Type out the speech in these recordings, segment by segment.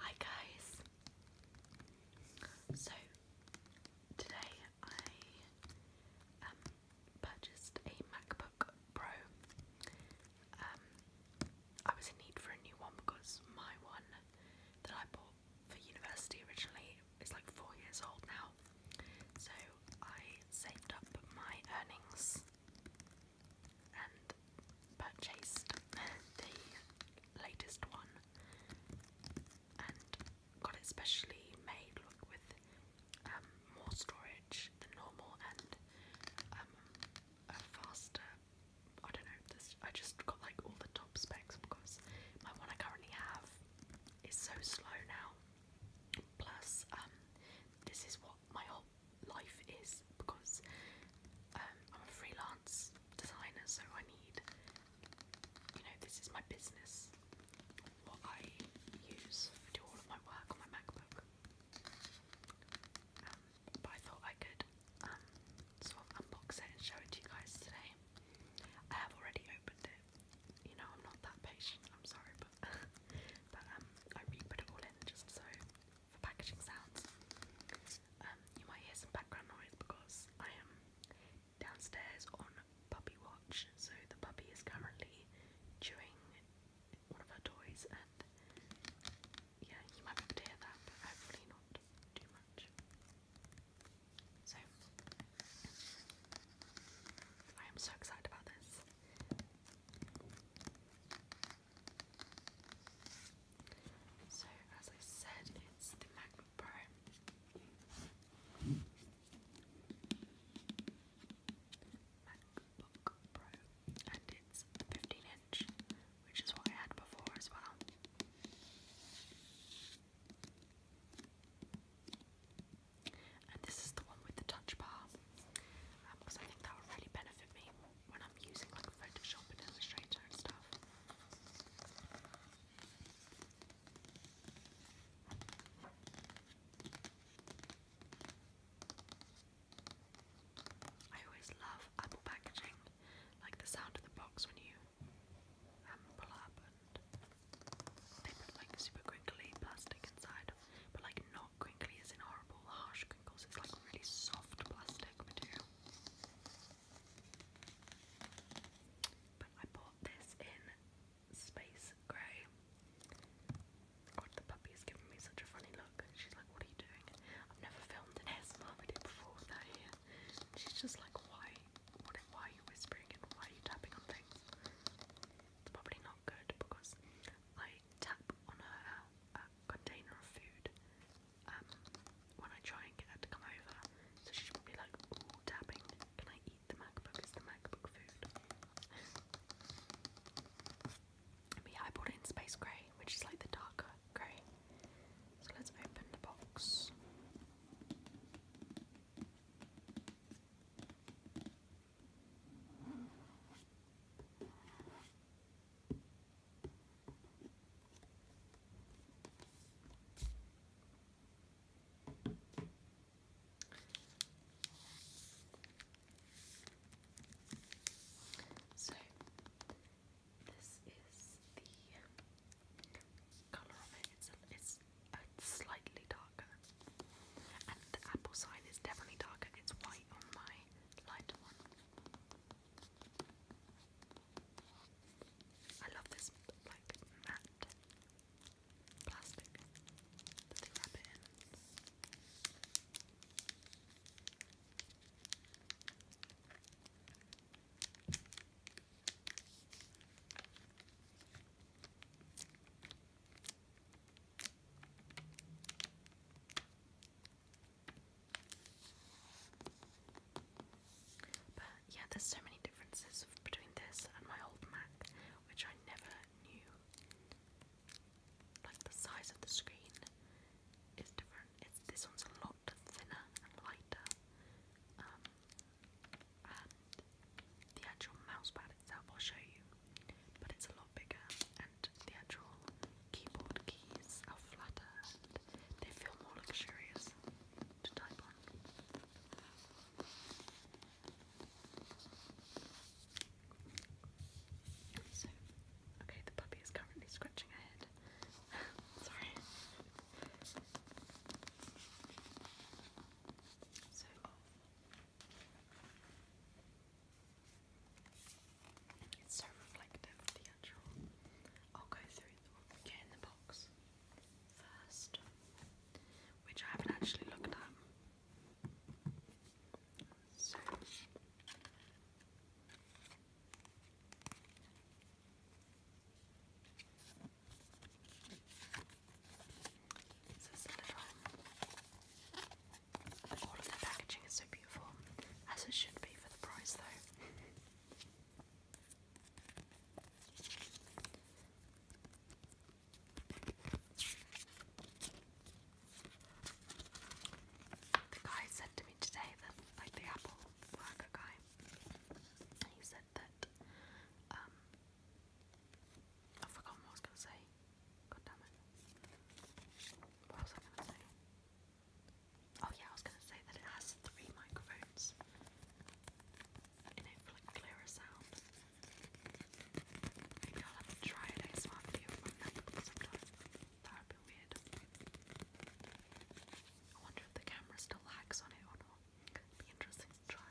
Hi guys! So today I um, purchased a MacBook Pro. Um, I was in need for a new one because my one that I bought for university originally is like four years old now. So I saved up my earnings and purchased the latest one and got it specially made with um, more storage than normal and um, a faster. I don't know. I just got like all the top specs because my one I currently have is so slow now. Plus, um, this is what my life is because um, I'm a freelance designer, so I need, you know, this is my business, what I use do all of my work on my MacBook. Um, but I thought I could um, sort of unbox and show to you guys today. I have already opened it. You know, I'm not that patient. I'm sorry, but but um, I re-put it all in just so for packaging sounds. Um, you might hear some background noise because I am downstairs on puppy watch, so the puppy is currently chewing one of her toys, and yeah, you might be hear that, but hopefully not too much. So, I am so excited about this. So, as I said, it's the MacBook Pro. MacBook Pro. And it's 15 inch, which is what I had before as well. And this is the one with the touch bar, because um, I think that would really benefit me when I'm using like Photoshop and Illustrator and stuff. I always love Apple packaging, like the sound of the box when you um, and they put like super crinkly plastic inside, but like not crinkly as in horrible harsh crinkles, it's like really soft plastic material. But I bought this in space grey. God, the puppy is giving me such a funny look. She's like, what are you doing? I've never filmed an ASMR video before with her She's just like, why? why are you whispering and why are you tapping on things? It's probably not good because I tap on a container of food um, when I try and get her to come over, so she's probably like, ooh, dabbing, can I eat the MacBook? Is the MacBook food? but bought it in space grey, which is like the darker grey. So let's open the box. So, this is the colour of it. It's, a, slightly darker, and the apple side is definitely darker. It's white on my lighter one. I love this like matte plastic that they wrap it in. But yeah, there's so many differences between this and my old Mac, which I never knew. Like the size of the screen is different. It's this one's a lot thinner and lighter, um, and the actual mouse pad itself I'll show you, but it's a lot bigger, and the actual keyboard keys are flatter and they feel more luxurious to type on. So, okay, the puppy is currently scratching her head. Sorry. So, it's so reflective I'll go through get in the box first, which I haven't actually looked at. So. This is a little. All of the packaging is so beautiful, as it should be for the price, though. The guy said to me today that, like the Apple worker guy, he said that, um, I've forgotten what I was going to say. What was I going to say? Oh yeah, I was gonna say that it has three microphones in it for like clearer sound. Maybe I'll have to try an ASMR video from MacBook sometime. That would be weird. I wonder if the camera still lags on it or not. it be interesting to try.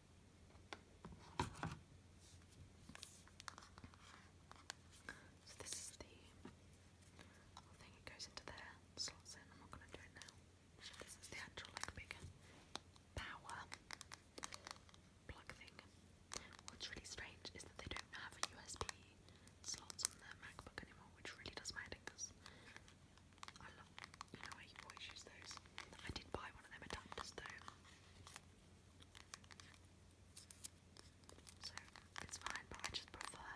So this is the thing, it goes into there, slots I'm not going to do it now. This is the actual like big power plug thing. What's really strange is that they don't have a USB slots on their MacBook anymore, which really does my because I love, you know, I always use those. I did buy one of them adapters though. So it's fine, but I just prefer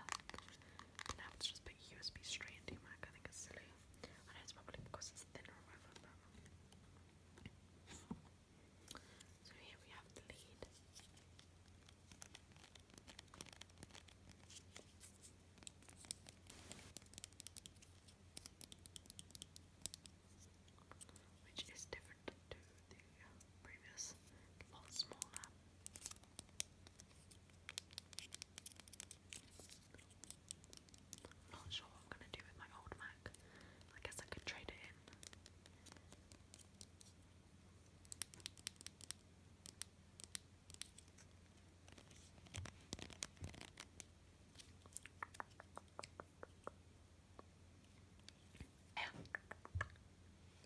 now to just put USB straight into Mac. I think it's silly. I know it's probably because it's thinner or whatever, So here we have the lead which is different to the previous, a smaller. Not sure what I'm gonna do with my old Mac. I guess I could trade it in. Leia,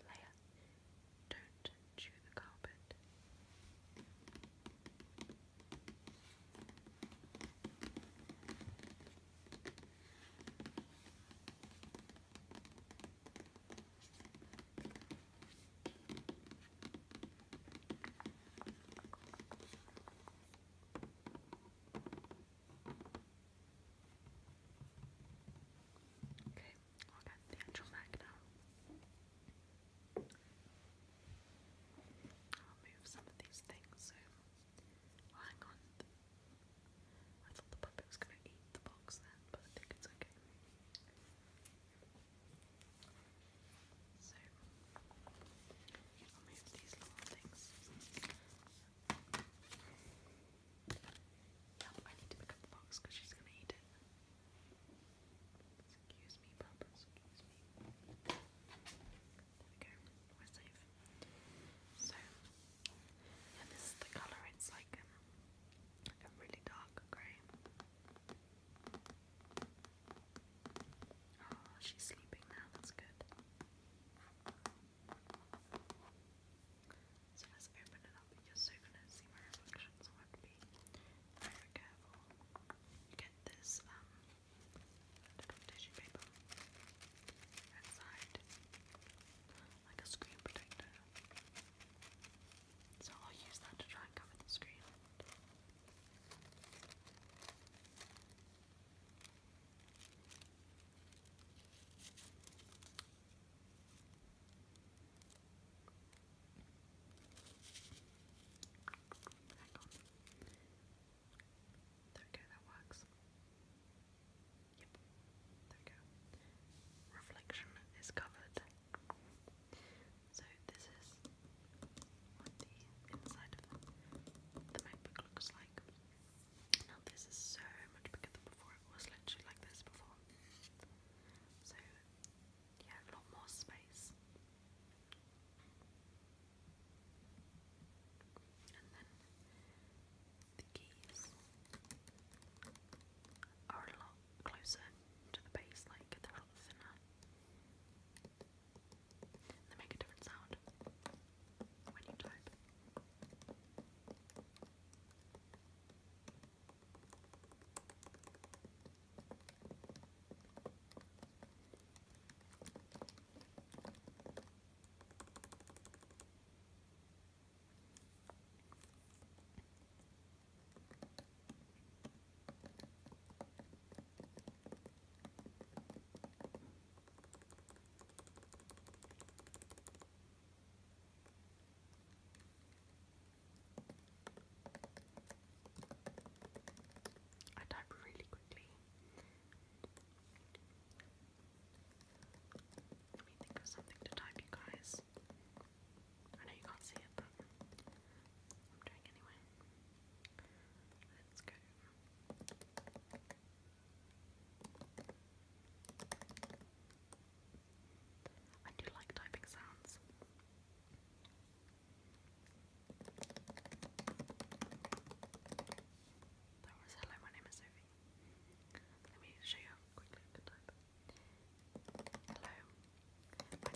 Leia, don't chew the carpet. Okay, I'll get the actual mag now. I'll move some of these things, so hang on. I thought the puppet was gonna eat the box then, but I think it's okay. So I'll move these little things. Now I need to pick up the box because she's gonna eat it. Excuse me, Papa. Excuse me. There we go. We're safe. So, yeah, this is the colour. It's like um, a really dark grey. Oh, she's sleeping now, that's good. So let's open it up you're gonna see my reflection, have to be very careful. You get this um little tissue paper inside. Like a screen protector. So I'll use that to try and cover the screen. Hang on. There we go, that works. Yep, there we go. Reflection is covered. So this is what the inside of the MacBook looks like. Now this is so much bigger than before. It was literally like this before. So yeah, a lot more space. And then the keys are a lot closer to the base, like they're a lot thinner. They make a different sound when you type. I type really quickly. Let me think of something to type, you guys. I know you can't see it, but I'm doing anyway let I do like typing sounds. That was hello, my name is Sophie. Let me show you how quickly I can type. Hello, my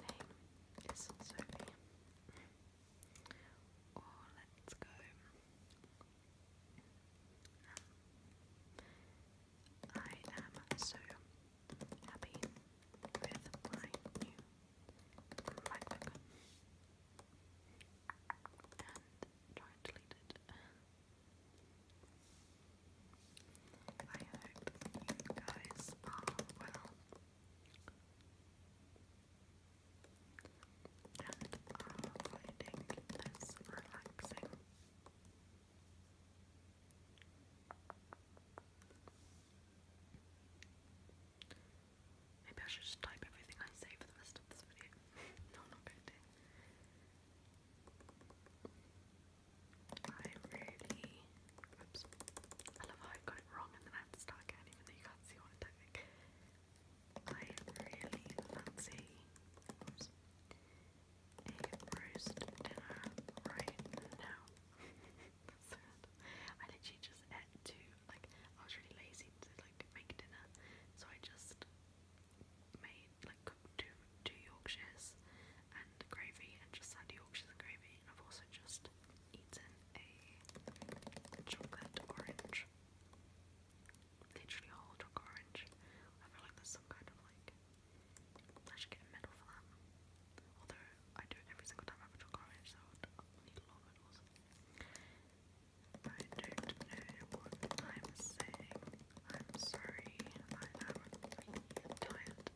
name is Sophie. Or let's go. Um, I am so happy with my new MacBook. And try and delete it. I hope you guys are well and are finding relaxing. Maybe I should just type everything I say for the rest of this video. no, not going to. I really Oops. I love how I got it wrong and then I have to start again even though you can't see what I'm typing. I really fancy oops, dinner right now. That's sad. I just ate to like I was really lazy to like make dinner, so I just made like cooked two two Yorkshires and gravy and just had Yorkshires and gravy. I've also just eaten a chocolate orange. Literally a chocolate orange. I feel like there's some kind of like I should get a medal for that. Although I do it every single time I have a orange, so I need a lot of medals. I don't know what I'm saying. I'm sorry. I am really tired.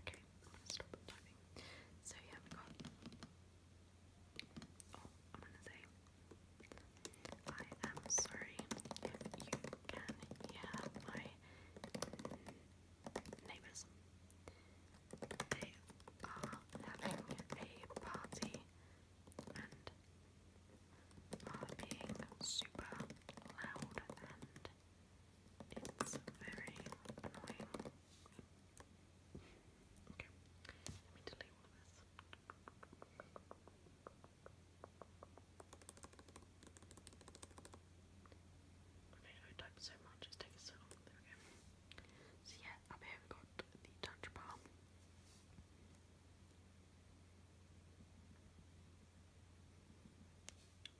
Okay, stop typing. So yeah, i am oh, gonna say, I am sorry if you can hear my neighbours. They are having a party and are being super loud and it's very annoying. Okay, let me delete all of this. Okay, I typed so much, it's taking so long. There So yeah, up here we got the touch bar.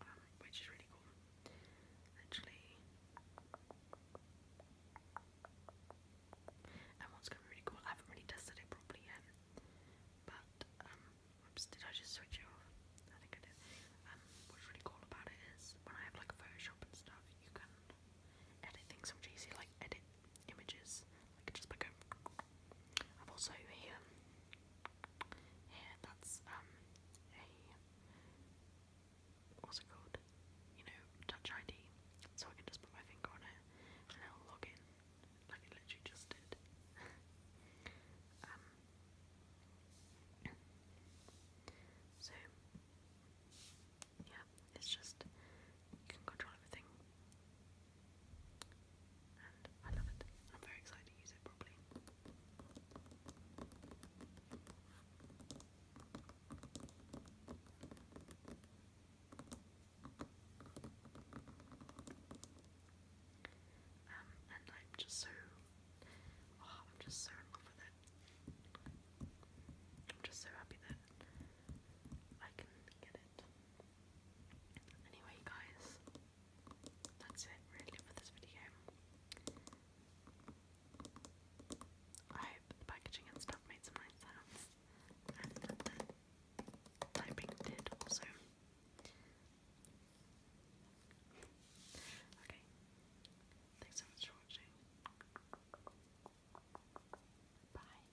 Um, which is really cool. Literally. And what's gonna be really cool, I haven't really tested it properly yet. But um did I just switch off? I think I did. Um, what's really cool about it is when I have like Photoshop and stuff you can edit things from GC like edit images. I could just like a. I've also here. Here, that's um What's it called? You know, Touch ID. So I can just put my finger on it and it'll log in, like it literally just did. um. So yeah, it's just you can control everything. And I love it. I'm very excited to use it properly. Um, and I'm just so, oh, I'm just so in love with it. I'm just so happy that I can get it it. Anyway, guys, that's it really for this video. I hope the packaging and stuff made some nice sounds, and the typing did also. Okay, thanks so much for watching. Bye.